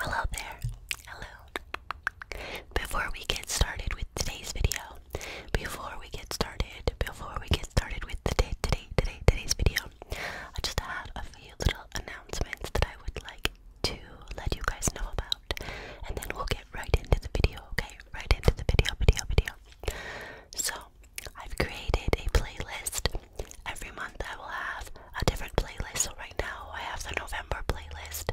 Hello there. Hello. Before we get started with today's video, before we get started, before we get started with today, today, today, today's video, I just had a few little announcements that I would like to let you guys know about, and then we'll get right into the video. Okay, right into the video, video, video. So I've created a playlist. Every month I will have a different playlist. So right now I have the November playlist.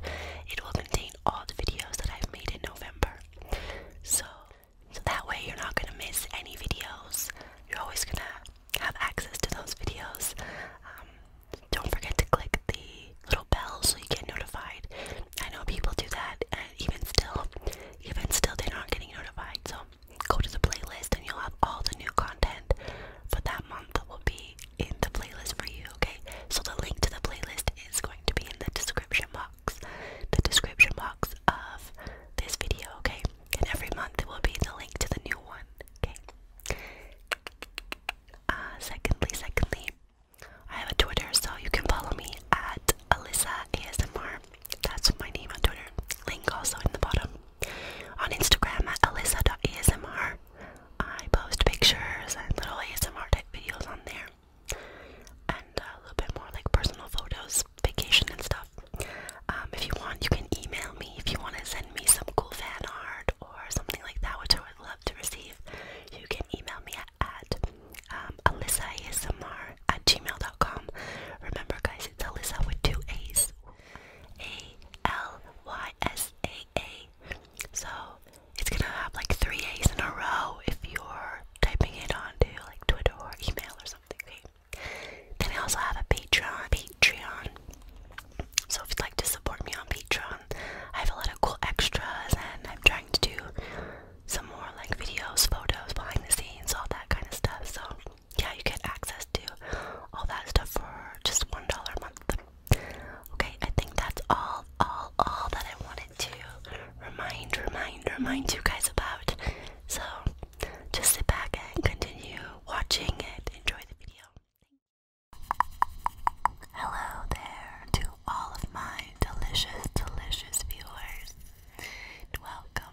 It will contain all the videos that I've made in November. So that way you're not gonna miss any videos. You're always gonna have access to those videos. Um, don't forget to click the little bell so you get notified. I know people do that, and even still, even still, they're not getting notified. So go to the playlist and you'll have all the new content for that month that will be in the playlist for you, okay? So the link to the playlist is going to be in the description box. The description box of this video, okay? And every month there will be the link to the new one, okay? Uh, secondly, secondly, I have a Twitter, so you can follow me at Alyssa ASMR. That's my name on Twitter. Link also in the bottom. On Instagram at alyssa.asmr. I post pictures and little ASMR type videos on there. And a little bit more like personal photos, vacation and stuff. Um, if you want, you can email me if you want to send me some cool fan art or something like that, which I would love to receive. You can email me at, at um, AlyssaASMR at gmail.com. Remember, guys, it's Alyssa with two A's. A L Y S A A. So it's gonna have like three A's in a row if you're typing it onto like Twitter or email or something. Okay? Then I also have a Patreon. Patreon. So if you'd like to support me on Patreon, I have a lot of cool extras and I'm trying to do some more like videos, photos, behind the scenes, all that kind of stuff. So yeah, you get access to all that stuff for just one dollar a month. Okay, I think that's all, all, all that I wanted to remind, remind, remind you guys about. So just sit back and continue watching and enjoy the video. Hello there to all of my delicious, delicious viewers. welcome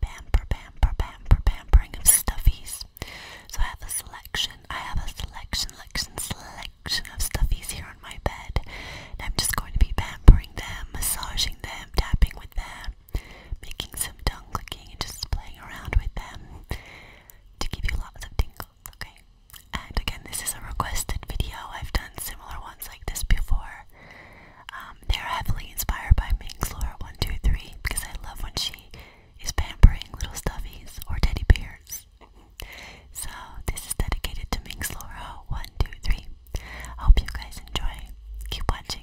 pamper, pamper, pamper, pampering of stuffies. So I have a selection, I have a selection, selection, selection of stuffies here on my bed. And I'm just going to be pampering them, massaging them, tapping with them, making some tongue clicking and just playing around with them to give you lots of tingles, okay? And again, this is a requested video. I've done similar ones like this before. Um, they're heavily inspired by Minks Laura 123 because I love when she is pampering little stuffies or teddy bears. so this is dedicated to Minks Laura 123. I hope you guys enjoy. Keep watching.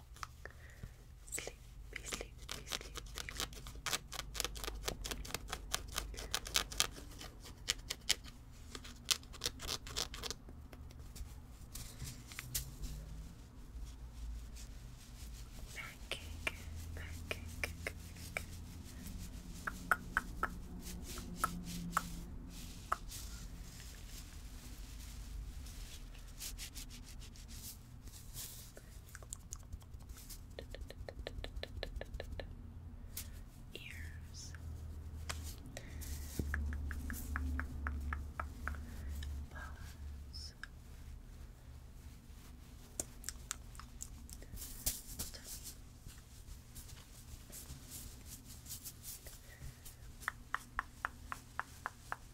Sleepy, sleepy, sleepy. Pancake, pancake. Pancake, Ears, bones, Tongue.